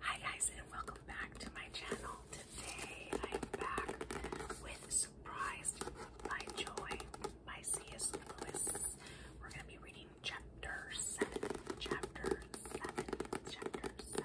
Hi guys and welcome back to my channel. Today I am back with Surprised by Joy by C.S. Lewis. We're going to be reading chapter 7. Chapter 7. Chapter 7.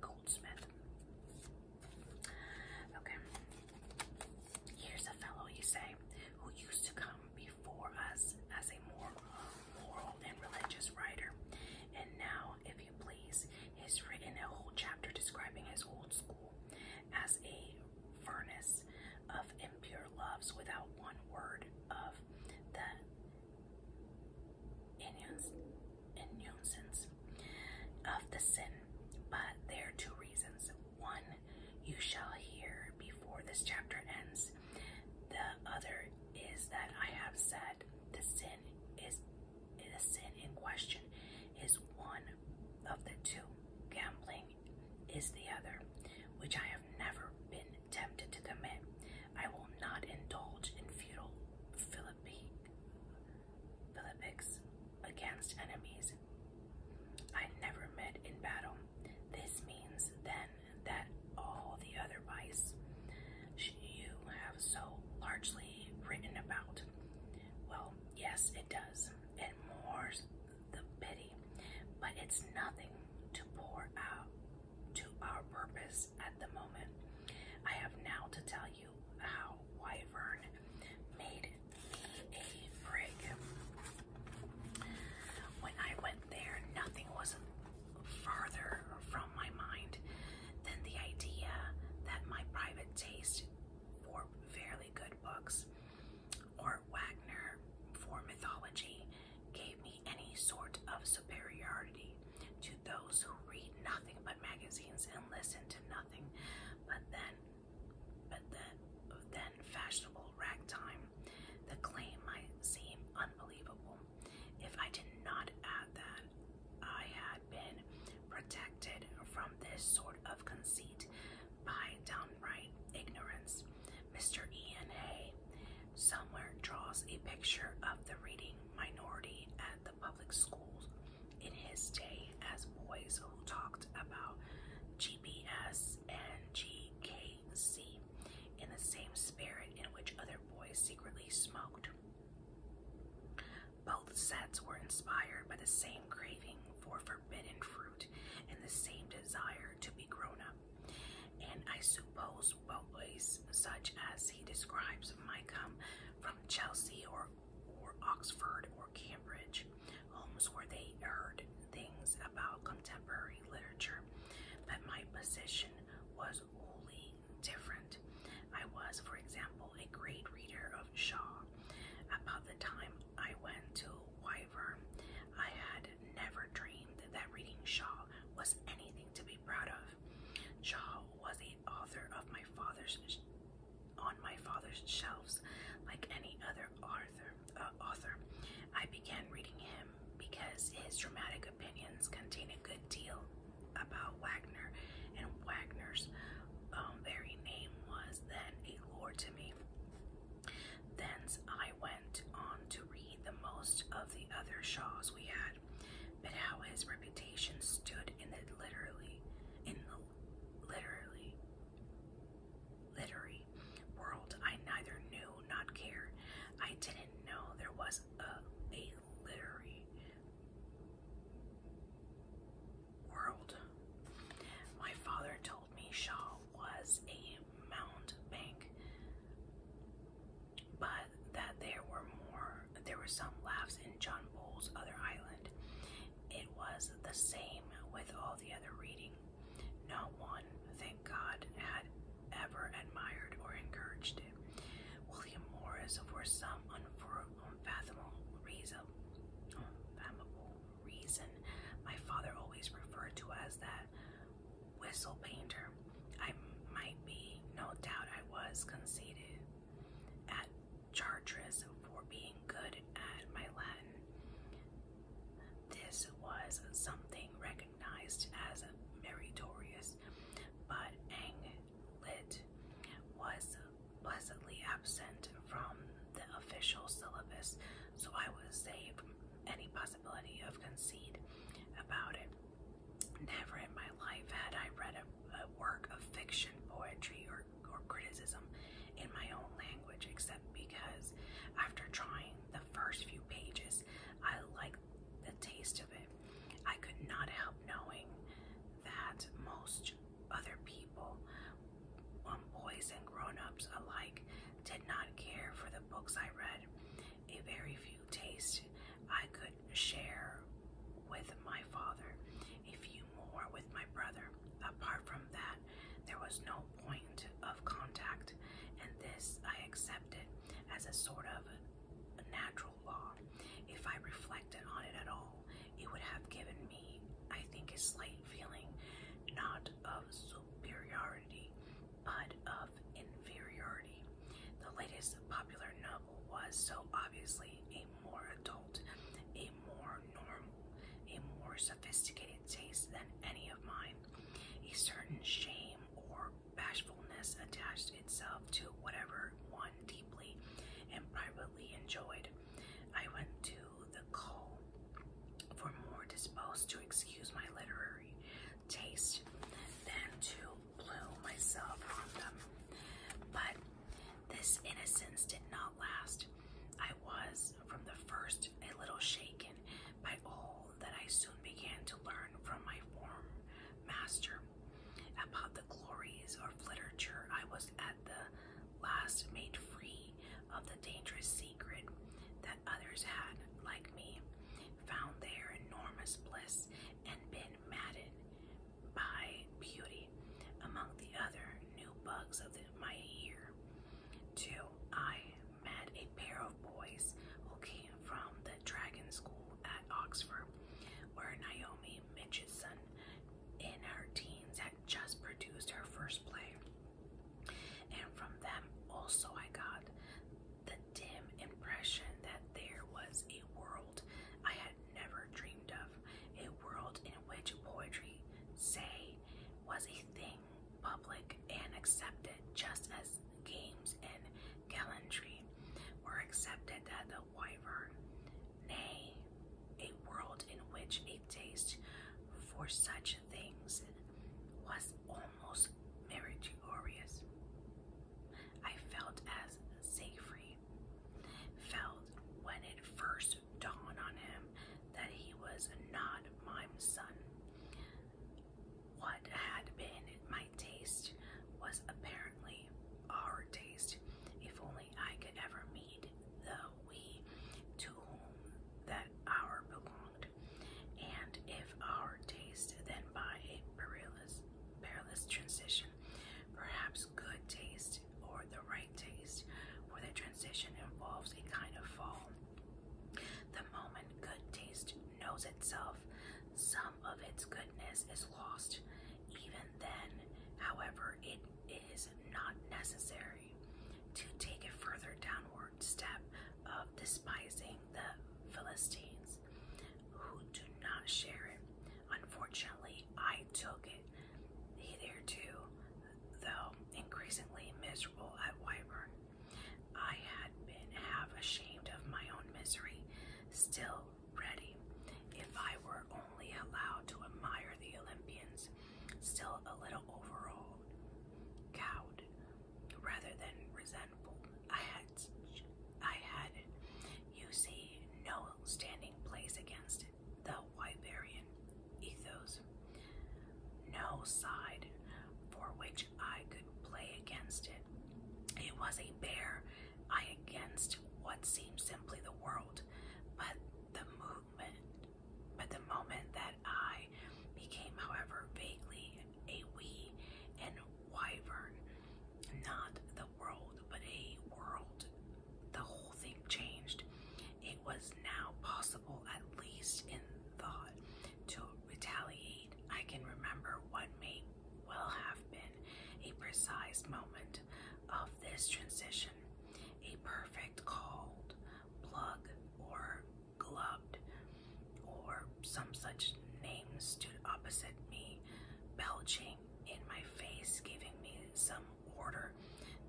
Goldsmith. Okay. Here's a fellow, you say, who used to come before us as a more moral and religious writer. And now, if you please, has written a whole chapter describing his old school as a furnace of impure loves without one word of the and of the sin. But there are two reasons. One, you shall hear before this chapter ends. The other is that I have said the sin is the sin in question is one of the two. Gambling is the other, which I have never been tempted to commit, I will not indulge in futile philippics against enemies I never met in battle. This means then that all the other vice you have so largely written about. Well, yes, it does, and more's the pity, but it's nothing to pour out to our purpose at the moment. I have now to tell you how Wyvern made me a brig. When I went there, nothing was farther from my mind than the idea that my private taste for fairly good books or Wagner for mythology gave any sort of superiority to those who read nothing but magazines and listen to nothing but then but then then fashionable ragtime. The claim might seem unbelievable. If I did not add that I had been protected from this sort of conceit by downright ignorance, Mr. E.N.A somewhere draws a picture of the reading minority at the public schools in his day as boys who talked about GBS and GKC in the same spirit in which other boys secretly smoked. Both sets were inspired by the same craving for forbidden fruit and the same desire to be grown up, and I suppose Superways, such as he describes might come from Chelsea or, or Oxford or Cambridge, homes where they heard things about contemporary literature, but my position was wholly different. I was, for example, a great reader of Shaw. About the time I went to Wyvern, I had never dreamed that reading Shaw was anything to be proud of. Shaw was the author of my father's on my father's shelves, like any other author. Uh, author, I began reading him because his dramatic opinions contain a good deal about Wagner, and Wagner's um, very name was then a lure to me. Thence I went on to read the most of the other Shaws we had but how his reputation stood in the literally in the literally literary world I neither knew not cared. I didn't know there was a literary world. My father told me Shaw was a mountebank but that there were more, there were some laughs in John Bull's other island. It was the same with all the other reading. No one, thank God, had ever admired or encouraged it. William Morris, for some unfathomable reason, my father always referred to as that whistle painter. I might be, no doubt I was conceited at Chartres for being good at my Latin. This was something recognized as meritorious, but Anglit was pleasantly absent from the official syllabus, so I was saved any possibility of conceit about it. Never in my life had I read a, a work of fiction, poetry, or, or criticism in my own language, except because after trying the first few pages, I liked the taste of it. I could not help knowing that most other people, um, boys and grown ups alike, did not care for the books I read. A very few taste I could share with my father, a few more with my brother. Apart from that, there was no point of contact, and this I accepted as a sort of natural law. If I reflected on it at all, it would have given me, I think, a slight feeling not of superiority, but of inferiority. The latest popular novel was so obviously a more adult, a more normal, a more sophisticated taste than any of mine. A certain shame or bashfulness attached itself to whatever one deeply and privately enjoyed. I went to the call for more disposed to excuse my literary taste than to blew myself on them. But this innocence did not last. I was, from the first, a little shaken by all that I soon began to learn from my former master. About the glories of literature, I was at the last made free of the dangerous secret that others had, like me, found their enormous bliss and been matted by beauty among the other new bugs of my year. Two, I met a pair of boys who came from the Dragon School at Oxford, where Naomi Mitchison in her teens had just produced her first play. And from them also I got the dim impression that there was a world I had never dreamed of, a world in which poetry, say, was a thing public and accepted, just as games and gallantry were accepted at the Wyvern. Nay, a world in which a taste for such things was only almost meritorious. I felt as Seyfried felt when it first dawned on him that he was not my son. What had been my taste was apparently our taste. If only I could ever meet the we to whom that hour belonged, and if our taste then by a perilous transition. Perhaps good taste or the right taste for the transition involves a kind of fall. The moment good taste knows itself, some of its goodness is lost. Even then, however, it is not necessary to take a further downward step of despising the Philistines who do not share it. Unfortunately, I took it. Hitherto, though increasingly miserable at Wyvern, I had been half ashamed of my own misery, still ready, if I were only allowed to admire the Olympians, still a little overawed, cowed rather than resentful. I had, I had, you see, no standing place against the Wyberian ethos, no side for which I could play against it. It was a bear I against what seemed simply the world, but the movement, but the moment that I became, however, vaguely a we and wyvern, not the world, but a world. The whole thing changed. It was now possible, at least in thought, to retaliate. I can remember what may well have been a precise moment of this transition, a perfect cold plug or gloved or some such name stood opposite me, belching in my face, giving me some order.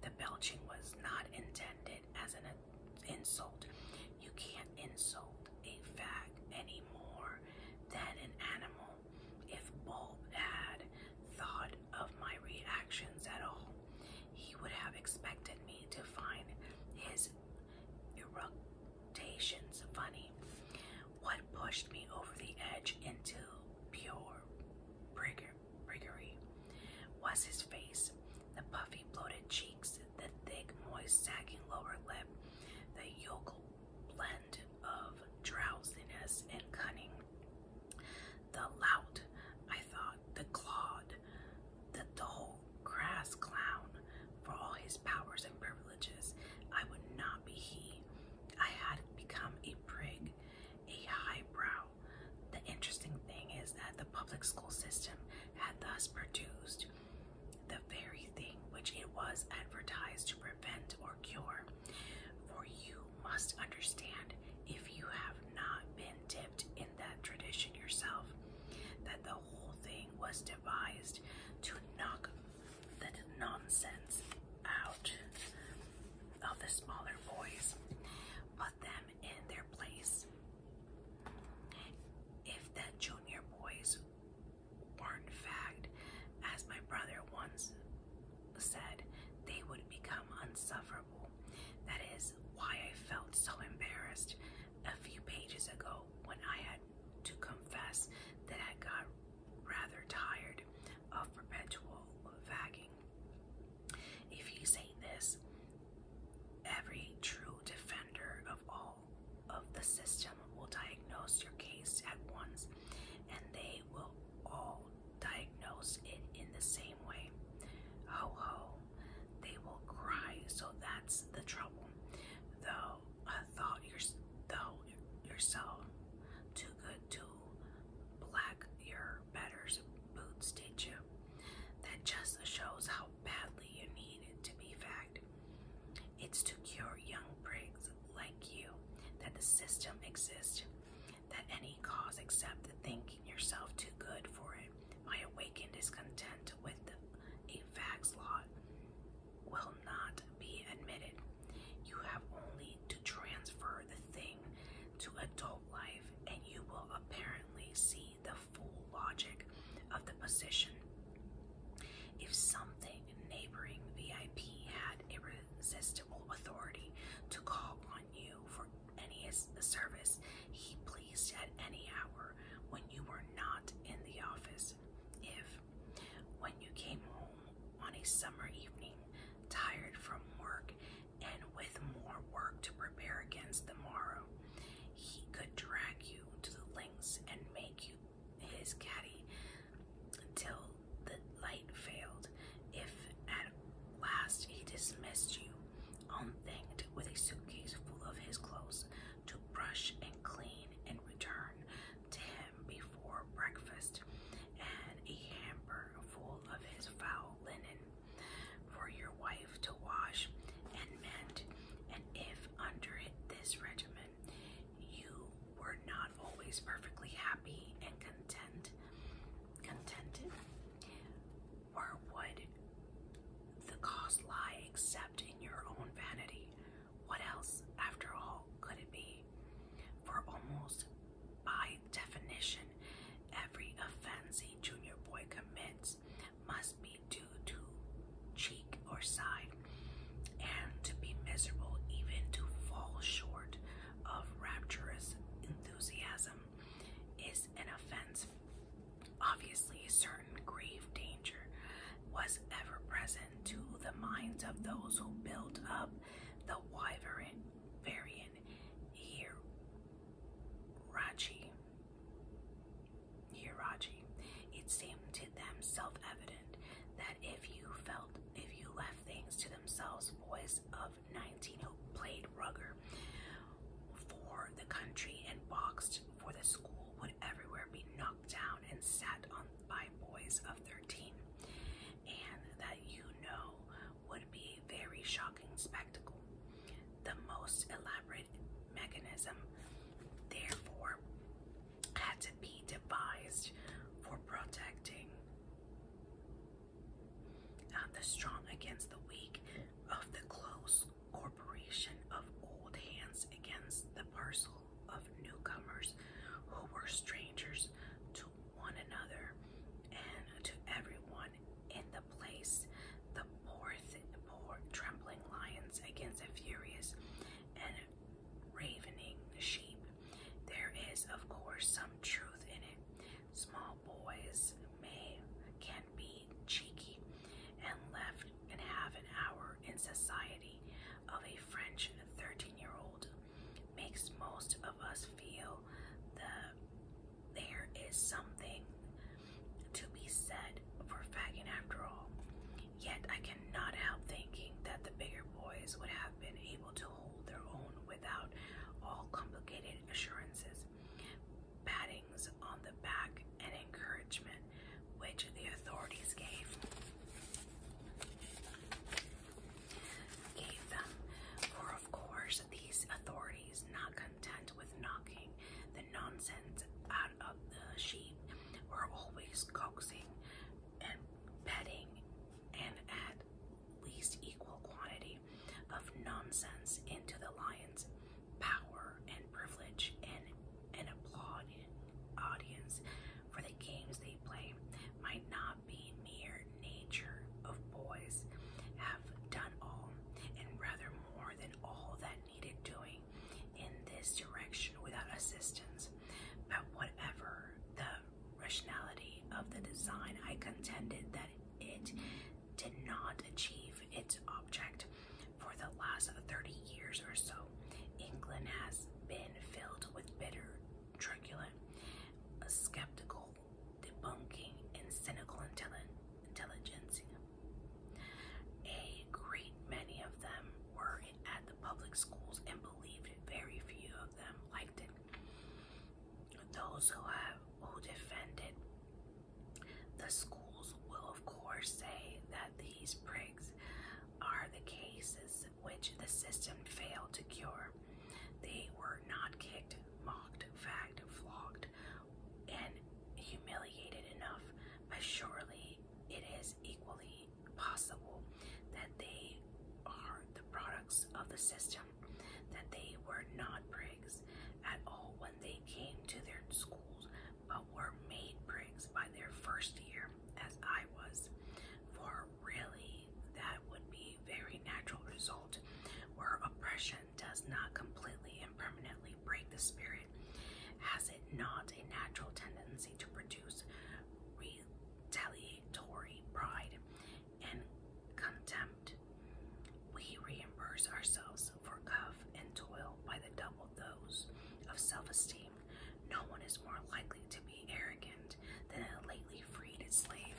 The belching was not intended as an insult. You can't insult a fag any more than an animal. If Bulb had thought of my reactions at all, he would have expected me to find his quotations funny. What pushed me over the edge into pure briggery was his face, the puffy, bloated cheeks, the thick, moist, sagging lower lip, the yoke blend of drowsiness and cunning. The lout, I thought, the clawed, the dull, crass clown for all his powers and privileges. I would not be he. I had become a prig, a highbrow. The interesting thing is that the public school system had thus produced the very thing which it was advertised to prevent or cure. For you must understand, if you have not been dipped in that tradition yourself, that the whole thing was to advised to knock the nonsense out of the smaller boys, put them in their place. If the junior boys weren't fagged, as my brother once said, they would become unsufferable. That is why I felt so embarrassed a few pages ago when I had to confess that I got rather tired of perpetual vagging. If you say this, every true defender of all of the system will diagnose your case at once, and they will all diagnose it in the same way. Ho ho, they will cry, so that's the trouble. Though thought you're though yourself too good to black your betters' boots, did you? That just shows how badly you need it to be fact. It's to cure young prigs like you that the system exists, that any cause except the thinking yourself too good for it might awaken discontent with the, a fact's lot will not be admitted. You have only to transfer the thing to adult life, and you will apparently see the full logic of the position. If something neighboring VIP had irresistible authority to call on you for any service he pleased at any hour when you were not in the office, if, when you came home on a summer evening, tired from work and with more work to prepare against the morrow, he could drag you to the links and make you his caddy until the light failed, if at last he dismissed you, unthanked, with a suitcase full of his clothes, to brush and clean and return to him before breakfast and a hamper full of his foul linen for your wife to wash and mend. And if under this regimen you were not always perfectly happy and content, contented, or would the cause lie except in your own vanity? What else, after all, could it be? For almost by definition, every offense a junior boy commits must be due to cheek or side, and to be miserable, even to fall short of rapturous enthusiasm, is an offense. Obviously, a certain grave danger was ever present to the minds of those who built up the wyvern variant here. Raji. Hiraji. It seemed to them self-evident that if you felt if you left things to themselves, boys of 19 who played rugger for the country and boxed for the school would everywhere be knocked down and sat on by boys of 13, and that you know would be a very shocking spectacle. The most elaborate mechanism, therefore, had to be devised for protecting uh, the strong against the weak of the close corporation of old hands against the parcel of newcomers who were strangers to one another and to everyone in the place. The poor, poor trembling lions against a furious and ravening sheep. There is, of course, some truth in it. Small boys may can be cheeky and left and have an hour in society of a French 13-year-old makes most of us feel that there is something to be said for fagging after all. Yet I cannot help thinking that the bigger boys would have been able to hold their own without all complicated assurances, pattings on the back, and encouragement which the authorities gave gave them. For of course these authorities, not content with knocking the nonsense out of the sheep, were always coaxing and petting and at least equal quantity of nonsense into the lions power and privilege and an applauded audience for the games they play might not be mere nature of boys have done all and rather more than all that needed doing in this direction without assistance but whatever the rationality of the design i contended that it did not achieve its object. For the last 30 years or so, England has been filled with bitter, truculent, skeptical, debunking, and cynical intelligence. A great many of them were at the public schools and believed Very few of them liked it. Those who have who defended the schools will, of course, say that these prigs are the cases which the system failed to cure. They were not kicked, mocked, fagged, flogged, and humiliated enough, but surely it is equally possible that they are the products of the system, that they were not prigs at all they came to their schools, but were made prigs by their first year, as I was. For really, that would be a very natural result, where oppression does not completely and permanently break the spirit. Has it not a natural tendency to produce retaliatory pride and contempt? We reimburse ourselves for cuff and toil by the double those of self-esteem, no one is more likely to be arrogant than a lately freed slave.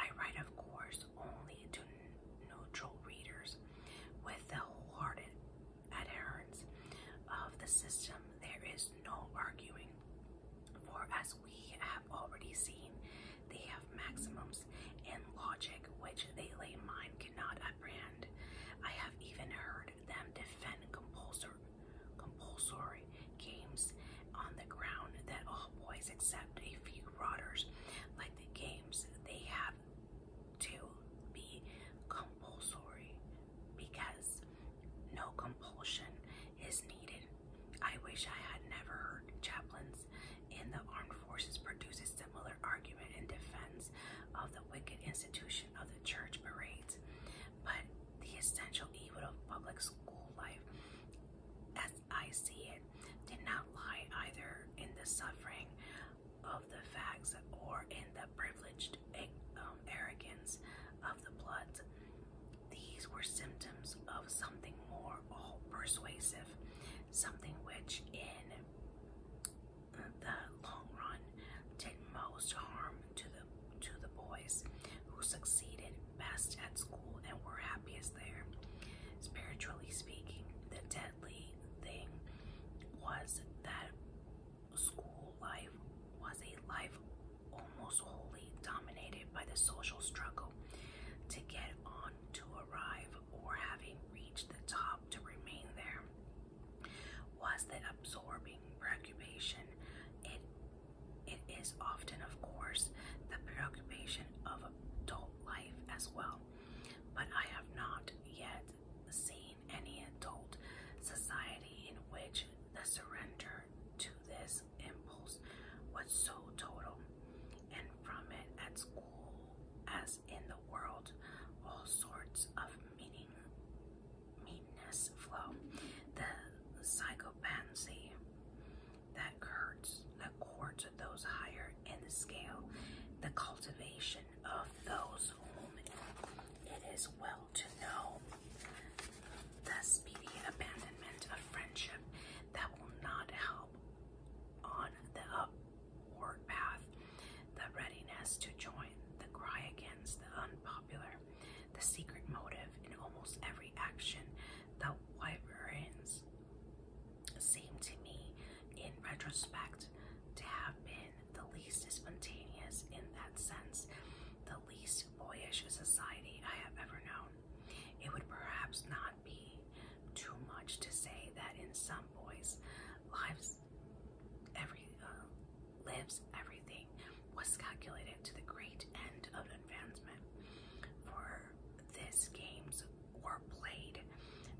I write, of course, only to neutral readers with the wholehearted adherence of the system. There is no arguing, for as we have already seen, they have maxims in logic which the lay mind cannot that brand. I have even heard them defend compulsory, compulsory games on the ground that all boys except a few rodders like the games they have to be compulsory because no compulsion is needed. I wish I had never heard chaplains in the armed forces produce similar argument in defense of the wicked institution of the church parades, but the essential evil of public school life, as I see it, did not lie either in the suffering of the facts or in the privileged um, arrogance of the blood. These were symptoms of something more all persuasive, something which, in the long run did most harm to the to the boys who succeeded best at school and were happiest there. Spiritually speaking, the deadly thing was that school life was a life almost wholly dominated by the social struggle to get on, to arrive, or having reached the top to remain there was that absorbing preoccupation. It it is often, of course, the preoccupation of adult life as well. But I have not yet seen any adult society in which the surrender to this impulse was so total, and from it at school as in the world, all sorts of meaning, meanness flow. The psychopathy that curds, that courts those higher in the scale, the cultivation of those it is well to know, the speedy abandonment of friendship that will not help on the up word path, the readiness to join, the cry against the unpopular, the secret motive in almost every action, the wyverns seem to me, in retrospect, to have been the least spontaneous in that sense, the least boyish society I have ever known. It would perhaps not be too much to say that in some boys' lives every uh, lives, everything was calculated to the great end of advancement. For this games were played,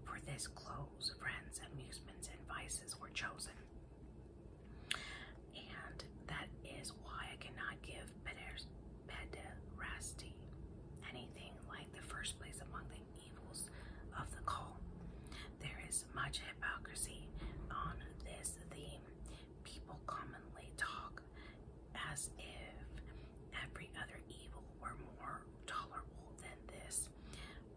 for this clothes, friends, amusements, and vices were chosen. And that is why I cannot give pederasty anything like the first place among them evils of the call. There is much hypocrisy on this theme. People commonly talk as if every other evil were more tolerable than this.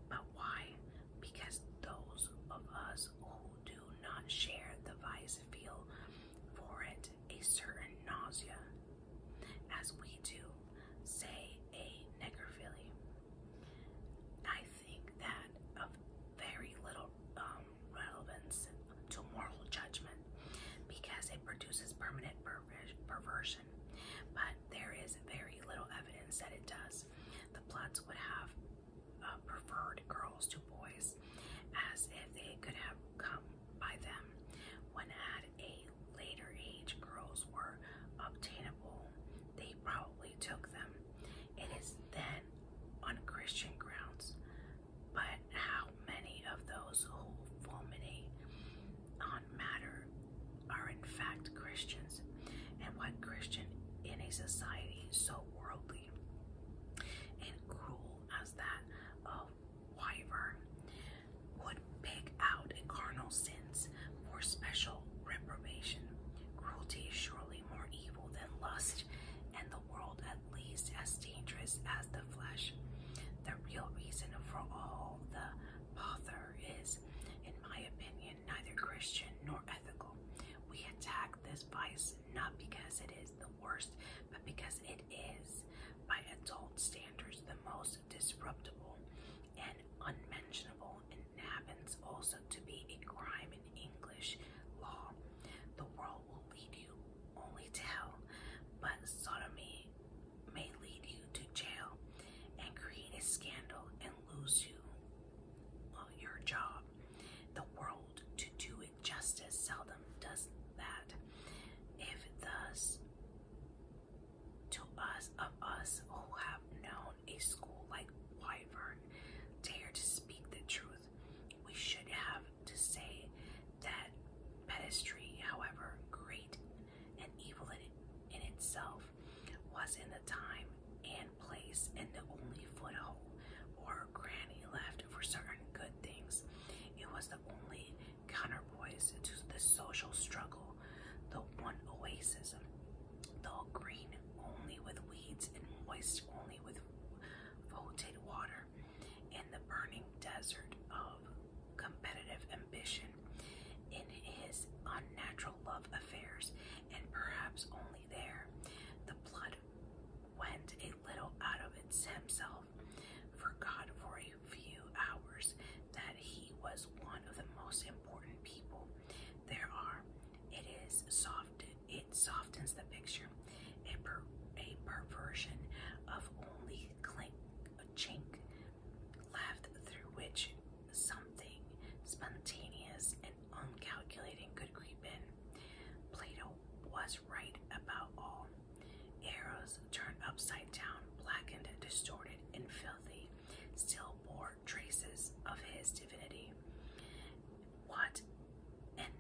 But why? Because those of us who do not share the vice feel for it a certain nausea. As we do say a necrophilia. I think that of very little um, relevance to moral judgment because it produces permanent perversion, but there is very little evidence that it does. The plots would have uh, preferred girls to boys as if they could have come by them. One had a later age girls were obtainable, they probably took them. It is then on Christian grounds, but how many of those who fulminate on matter are in fact Christians, and what Christian in a society so worldly and cruel as that of Wyvern would pick out carnal sins for special reprobation. Cruelty is surely more evil than lust, and the world at least as dangerous as the flesh. The real reason for all the bother is, in my opinion, neither Christian nor ethical. We attack this vice not because it is the worst, but because it is, by adult standards, the most disruptable and unmentionable, and happens also to be a crime in English law. The world will lead you only to hell, but sodomy may lead you to jail and create a scandal and lose you your job. The world, to do it justice, seldom does that. If thus to us of us who have known a school like Wyvern, dare to speak the truth. We should have to say that pedestry, however great and evil in, in itself, was in the time and place and the only foothold or granny left for certain good things. It was the only counterpoise to the social struggle, the one oasis, though green only with weeds and moist only with voted water, in the burning desert of competitive ambition, in his unnatural love affairs, and perhaps only there, the blood went a little out of its himself, forgot for few hours that he was one of the most important people there are. It is soft. It softens the picture. A, per, a perversion of only clink, a chink left through which something spontaneous and uncalculating could creep in. Plato was right about all. Arrows turned upside down, blackened, distorted, and filthy still bore traces of his divinity. What an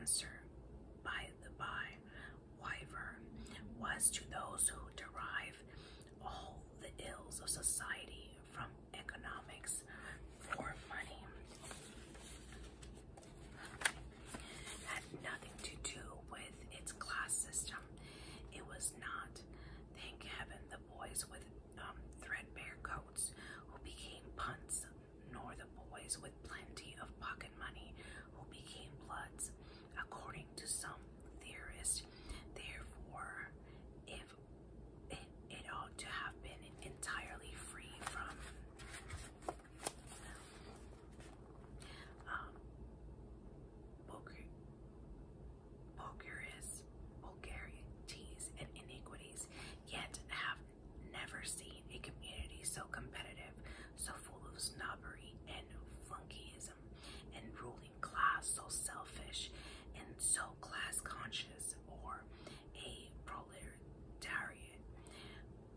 answer, by the by, Wyvern was to those who derive all the ills of society from economics for money. Had nothing to do with its class system. It was not Thank heaven the boys with um, threadbare coats who became punts, nor the boys with plenty of pocket money who became bloods. According to some theorists, therefore, if it, it ought to have been entirely free from um, Bulgarian vulgarities, and iniquities, yet have never seen a community so competitive, so full of snobbery and flunkyism, and ruling class so selfish and so class conscious, or a proletariat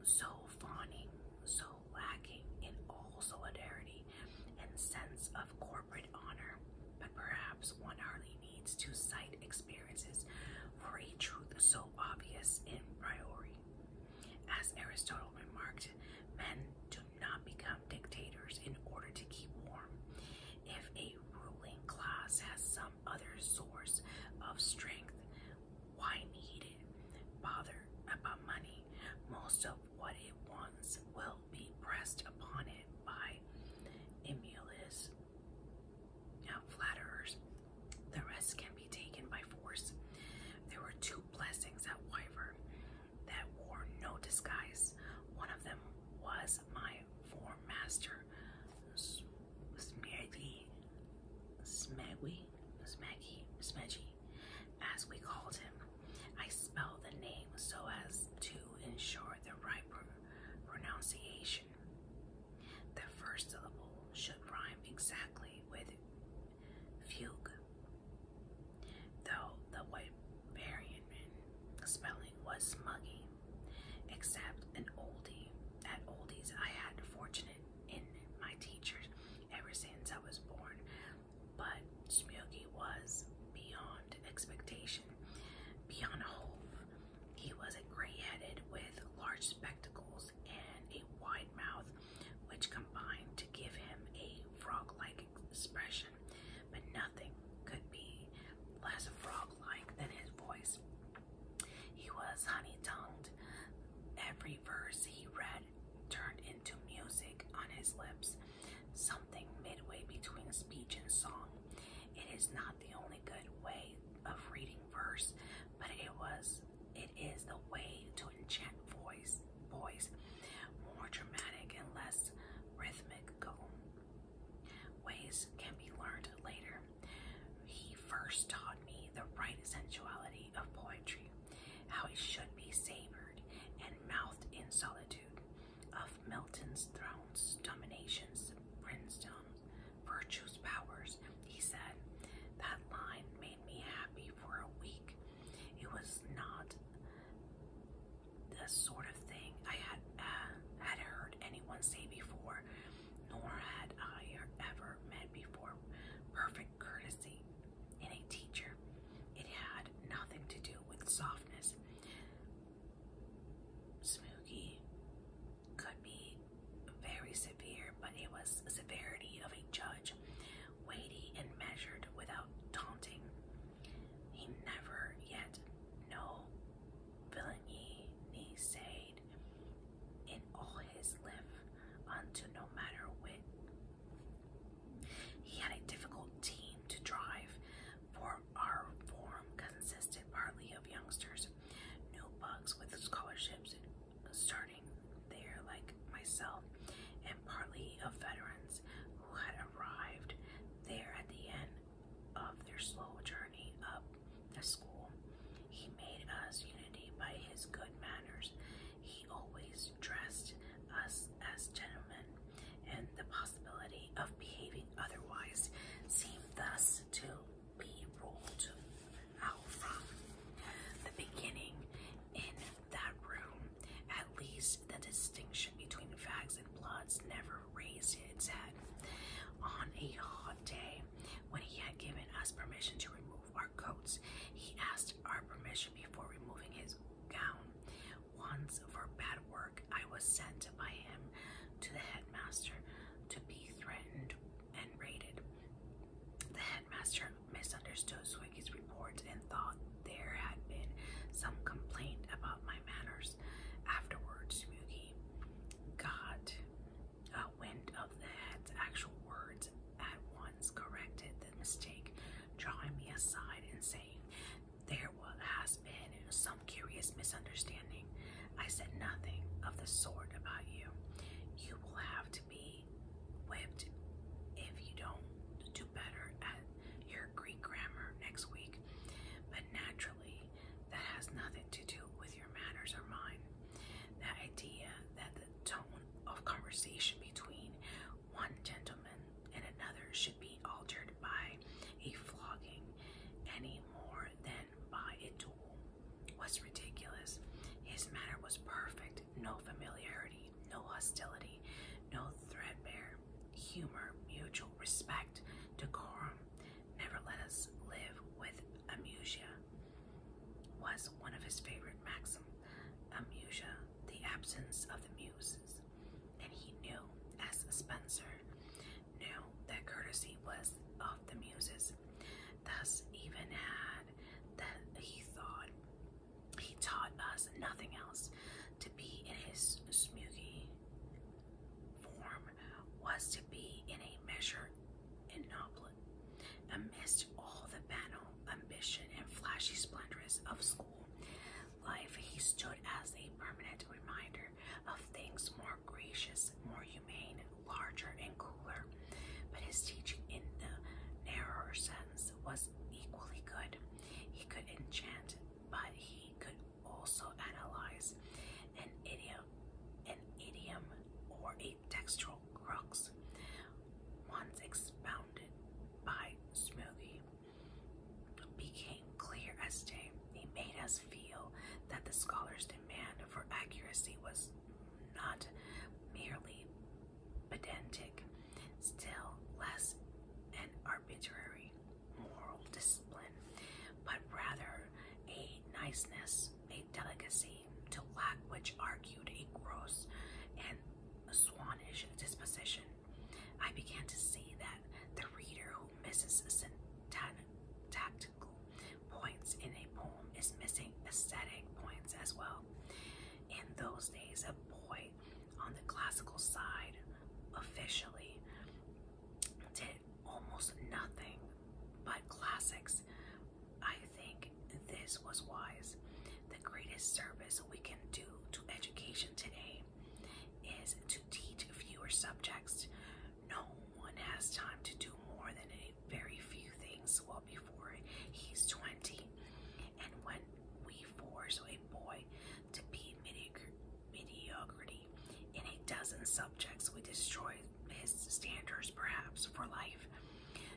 so fawning, so lacking in all solidarity and sense of corporate honor, but perhaps one hardly needs to cite experiences for a truth so obvious in priori. As Aristotle remarked, men do not become dictators in order to keep warm. If a ruling class has some other source of strength, why need it? Bother about money. Most of what it wants will be pressed upon it by emulous flatterers. The rest can be taken by force. There were two blessings at Wyvern that wore no disguise. One of them was my form master, Smeggy, Smeggy, Smeggy, Smeggy, as we called him. I spelled the name so as to ensure the right pronunciation. The first syllable should rhyme exactly with fugue, though the Wiberian spelling was smuggy, except an oldie. At oldies, I had fortunate in my teachers ever since I was born but Smyogi was beyond expectation, beyond hope. He was a gray-headed with large spectacles and a wide mouth, which combined to give him a frog-like expression, but nothing could be less frog-like than his voice. He was honey-tongued. Every verse he read turned into music on his lips, something midway between speech and song. It is not the only good way of reading verse, but it was it is the way to enchant voice voice more dramatic and less rhythmic. Go Ways can be learned later. He first taught me the right sensuality of poetry how it should be savored and mouthed in solitude, of Milton's thrones, dominations, brimstones, virtues, powers, he said. That line made me happy for a week. It was not the sort of thing I had uh, had heard anyone say before, nor had I ever met before. Perfect courtesy in a teacher. It had nothing to do with softness. Smoogie could be very severe, but it was severity of a judge, weighty and measured without taunting. He never yet no villainy he said in all his life unto no matter wit he had a difficult team to drive, for our form consisted partly of youngsters, new with scholarships starting there like myself, and partly of veterans who had arrived there at the end of their slow journey up the school. He made us unity by his good manners he always dressed us as gentlemen, and the possibility of behaving otherwise seemed thus to be ruled out from the beginning. In that room, at least the distinction between fags and bloods never raised its head. On a hot day, when he had given us permission to remove our coats. He asked our permission before removing his gown. Once, for bad work, I was sent by him to the headmaster to be threatened and rated. The headmaster misunderstood Swiggy's report and thought there had been some complaint about my manners. Afterwards, Mugi got a wind of the head's actual words, at once corrected the mistake, drawing me aside and saying there has been some curious misunderstanding. I said nothing of the sort about you. You will have to be whipped if you don't do better at your Greek grammar next week. But naturally, that has nothing to do with your manners or mine. That idea that the tone of conversation between one gentleman and another should be altered by a flogging any more than by a duel was ridiculous. His manner was perfect, no familiarity, no hostility, no threadbare humor, mutual respect, decorum. Never let us live with amusia was one of his favorite maxims amusia, the absence of the muses, and he knew, as Spencer knew, that courtesy was of the muses. Thus, even had that he thought he taught us nothing else to be in his smoky form was to be in a measure inoblate amidst all the banal ambition and flashy splendors of school life, he stood as a permanent reminder of things more gracious, more humane, larger, and cooler. But his teaching, in the narrower sense, was equally good. He could enchant, but he could also analyze an idiom, an idiom, or a textual crux. Once expounded surrounded by smoothie became clear as day. He made us feel that the scholar's demand for accuracy was not merely pedantic, still less an arbitrary moral discipline, but rather a niceness, a delicacy, to lack which argued a gross and a swanish disposition, I began to see that the reader who misses syntactical points in a poem is missing aesthetic points as well. In those days, a boy on the classical side officially did almost nothing but classics. I think this was wise. The greatest service we can do to education today is to teach fewer subjects. No one has time to do more than a very few things well before he's 20. And when we force a boy to be mediocre, mediocrity in a dozen subjects, we destroy his standards perhaps for life.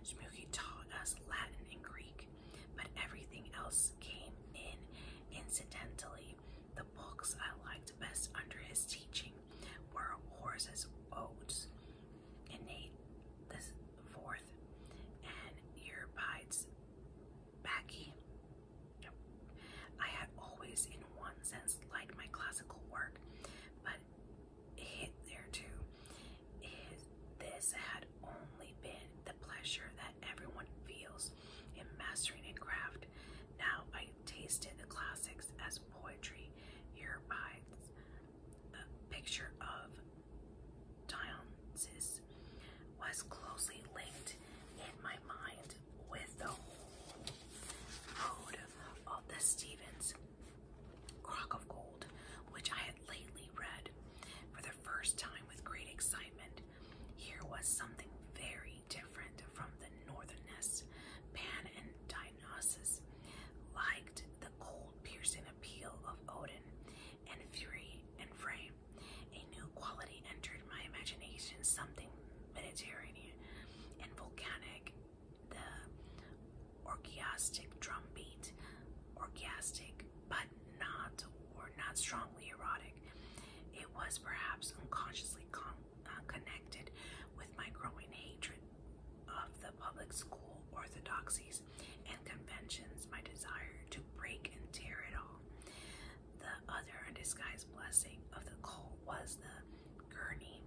Smoky taught us Latin and Greek but everything else came in incidentally. The books I liked best under his teaching were Horace's Odes, Innate the Fourth, and Earbide's Backy. I had always, in one sense, liked my classical work, but hit there too is this had only been the pleasure that everyone feels in mastering a craft. Now I tasted the classics as poetry. Here abides picture of Dionysus was closely linked in my mind with the whole road of the Stevens Crock of Gold, which I had lately read for the first time with great excitement. Here was something very different from the northernness. Pan and Dionysus liked the cold, piercing appeal of Odin and Fury and Frey. A new quality entered my imagination, something Mediterranean and volcanic drum beat, orgiastic but not or not strongly erotic. It was perhaps unconsciously uh, connected with my growing hatred of the public school orthodoxies and conventions, my desire to break and tear it all. The other undisguised blessing of the cult was the gurney,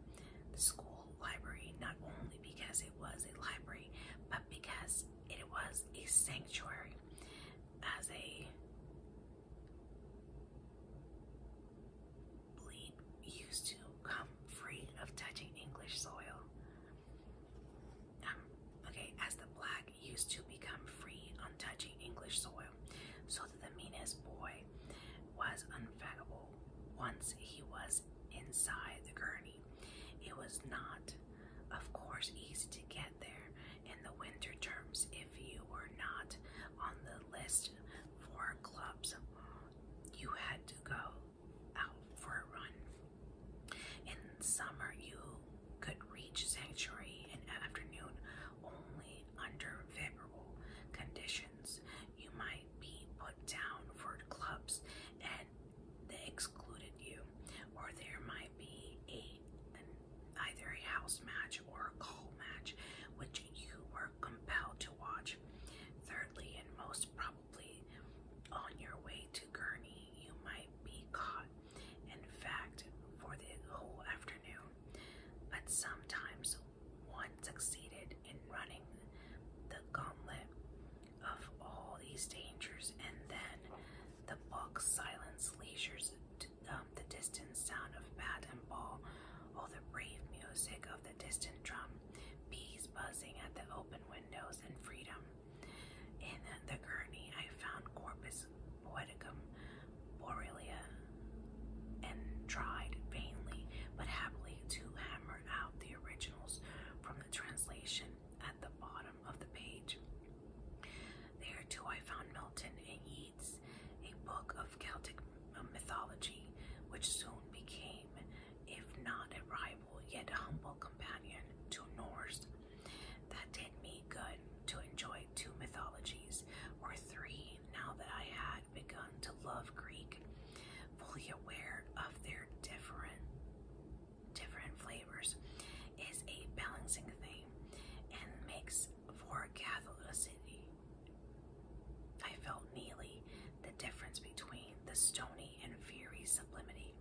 school library, not only because it was a library, but because it was a sanctuary as a bleed used to come free of touching English soil. Um, okay, as the black used to become free on touching English soil, so that the meanest boy was unfathomable once he was inside the gurney. It was not, of course, easy to get there in the winter terms if you were not on the list for clubs. You had to go out for a run. In summer, you could reach Sanctuary in afternoon only under favorable conditions. You might be put down for clubs they excluded you, or there might be a either a house match or a call match, which you were compelled to watch. Thirdly, and most probably, on your way to Gurney, you might be caught. In fact, for the whole afternoon, but sometimes one succeeded in running the gauntlet of all these dangers, and then the book's silence leisures um, the distant sound of bat and ball, all the brave music of the distant drum, bees buzzing at the open windows, and freedom. In the gurney, I found Corpus poeticum Borelia, and tried vainly but happily to hammer out the originals from the translation at the bottom of the page. There too I found Milton and Yeats, a book of Celtic mythology, which soon became, if not a rival, yet a humble companion to Norse. That did me good to enjoy two mythologies, or three, now that I had begun to love Greek, fully aware of their difference different flavors is a balancing thing and makes for Catholicity. I felt nearly the difference between the stony and fiery sublimity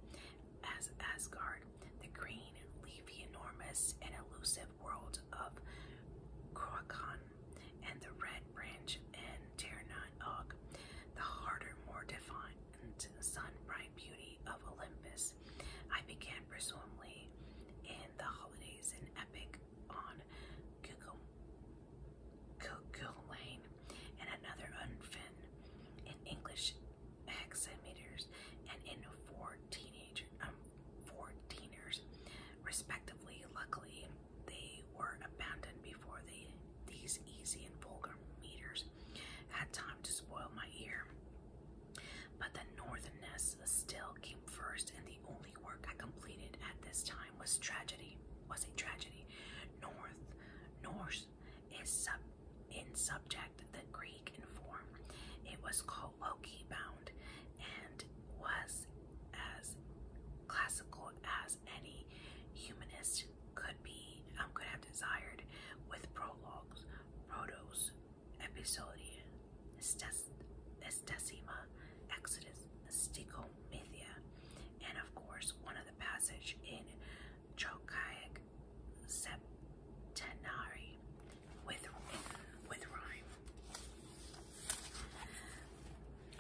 as Asgard, the green, and leafy, enormous, and elusive world of Kroakon, and the red branch and Tirnan Og, the harder, more defined, sunbright beauty of Olympus. I began presumably in the holidays in Epic on Google, Google Lane and another unfin in English hexameters and in four teenager um, four teenagers respectively. Luckily they were abandoned before the these easy and vulgar meters had time to spoil my ear. But the northernness still came first, and the only work I completed at this time was tragedy. Was a tragedy. North, Norse is sub in subject the Greek in form. It was called Loki bound, and was as classical as as any humanist could be um, could have desired, with prologues, protos, episodia, estes, estesima, exodus, stichomythia, and of course one of the passage in Trochaic septenary with with rhyme.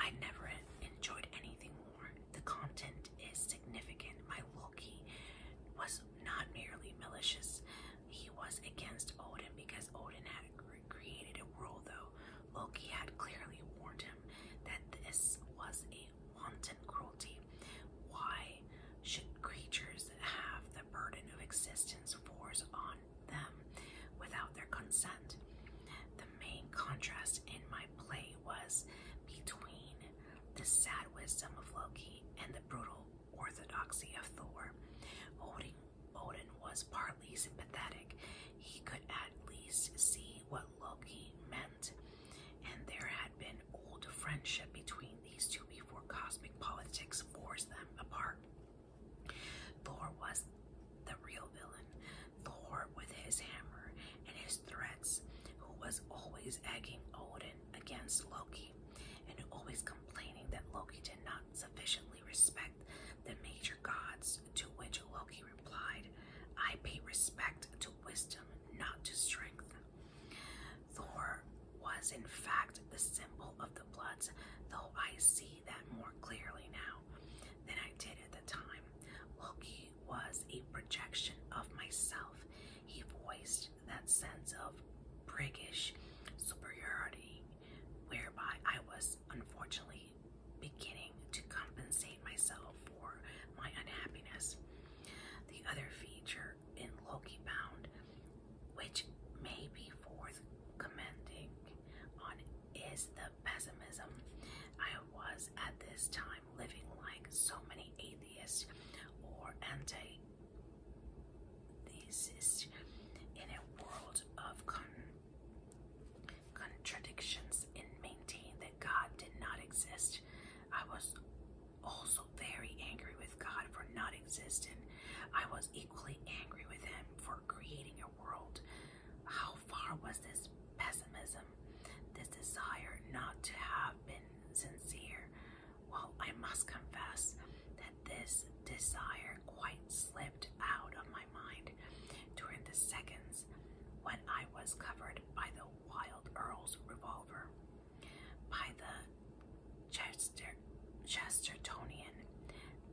I never enjoyed anything more the content is significant. My Loki was not merely malicious, he was against Odin because Odin had created a world, though Loki had clearly warned him that this was a wanton cruelty. Why should creatures have the burden of existence forced on them without their consent? the main contrast in my play was between the sad wisdom of Loki and the brutal orthodoxy of Thor. Odin, Odin was partly sympathetic. He could at least see what Loki meant, and there had been old friendship between these two before cosmic politics forced them apart. Thor was the real villain. Thor with his hammer and his threats, who was always egging Odin against Loki, and always complaining that Loki did not sufficiently respect the major gods, to which Loki replied, I pay respect to wisdom, not to strength. Thor was in fact the symbol of the Bloods, though I see that more clearly now than I did at the time. Loki was a projection of myself. He voiced that sense of priggish superiority whereby I was unfortunately beginning to compensate myself for my unhappiness. The other feature in Loki Bound, which may be forth commending on, is the pessimism. I was at this time living like so many atheists or anti theists in a world of contradictions and maintained that God did not exist. I was also very angry with God for not existing. I was equally angry with him for creating a world how far was this pessimism, this desire not to have been sincere? Well, I must confess that this desire quite slipped out of my mind during the seconds when I was covered by the Wild Earl's revolver, by the Chestertonian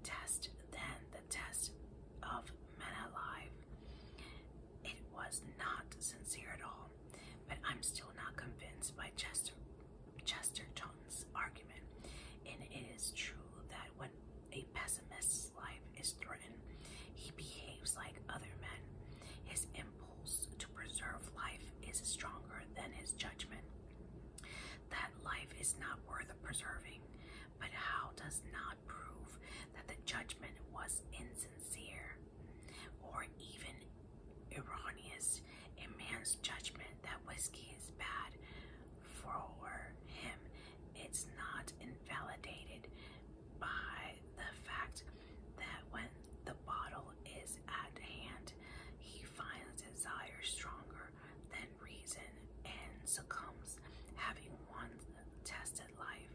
test, then the test of men alive, it was not sincere at all, but I'm still not convinced by Chester Chesterton's argument, and it is true that when a pessimist's life is threatened, he behaves like other men. His impulse to preserve life is stronger than his judgment. That life is not worth preserving, but how does not prove that the judgment was insincere or even erroneous. A man's judgment that whiskey is bad for him, it's not invalidated by the fact that when the bottle is at hand, he finds desire stronger than reason and succumbs, having once tested life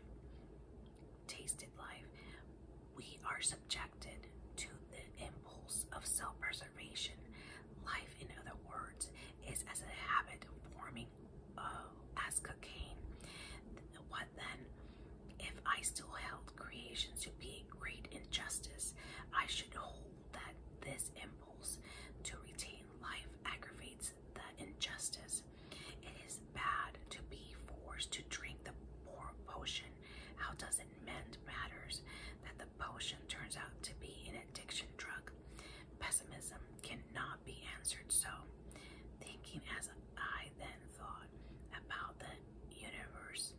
tasted life, we are subjected to the impulse of self preservation. Life, in other words, is as a habit forming uh, as cocaine. What then? If I still held creation to be a great injustice, I should hold that this impulse to retain life aggravates the injustice. It is bad to be forced to drink the poor potion. How does it mend matters that the potion turns out to be an addiction drug? Pessimism cannot be answered so. Thinking as I then thought about the universe,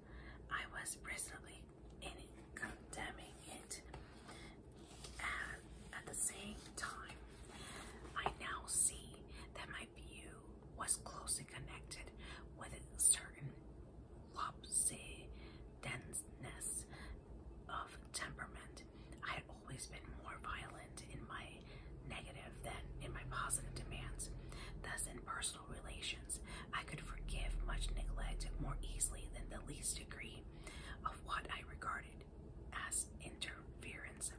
I was presently in condemning it. And at the same time, I now see that my view was closely connected with a certain lopsidedness of temperament. I had always been more violent in my negative than in my positive demands. Thus, in personal relations, I could forgive much neglect more easily than the least degree of what I regarded as interference.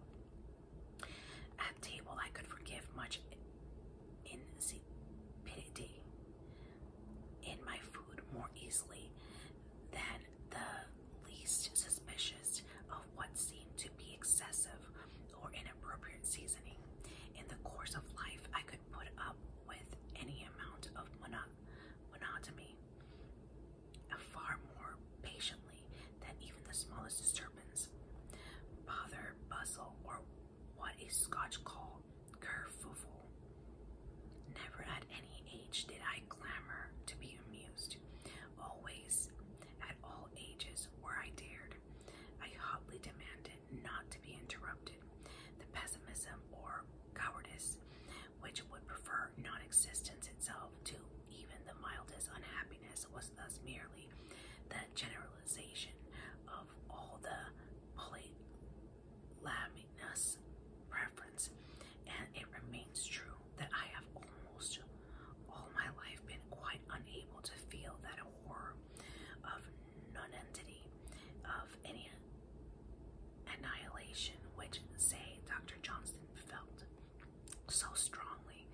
At table, I could forgive much insipidity in my food more easily than the least suspicious of what seemed to be excessive or inappropriate seasoning. In the course of life, I could put up with any amount of monotony far more patiently than even the smallest disturbance. Bother, bustle, or what a Scotch call kerfuffle. Never at any age did I clamor to be amused. Always, at all ages, where I dared, I hotly demanded not to be interrupted. The pessimism or cowardice which would prefer non existence itself to even the mildest unhappiness, was thus merely the generalization of all the polylaminous preference. And it remains true that I have almost all my life been quite unable to feel that horror of nonentity, of any annihilation which, say, Dr. Johnston felt so strongly.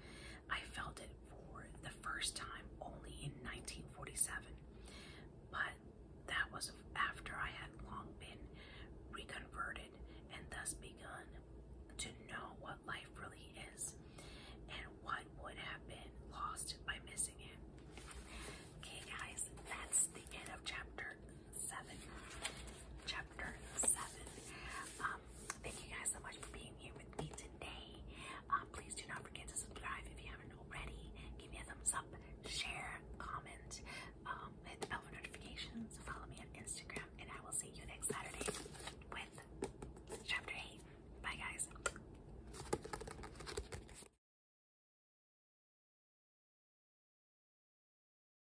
I felt it for the first time only in 1947, but that was after I had long been reconverted and thus begun to know what life really is and what would have been lost by missing it. Okay, guys, that's the end of chapter 7. Um, thank you guys so much for being here with me today. Um, please do not forget to subscribe if you haven't already. Give me a thumbs up, share, comment, um, hit the bell for notifications, follow me on Instagram, and I will see you next Saturday with Chapter 8. Bye, guys.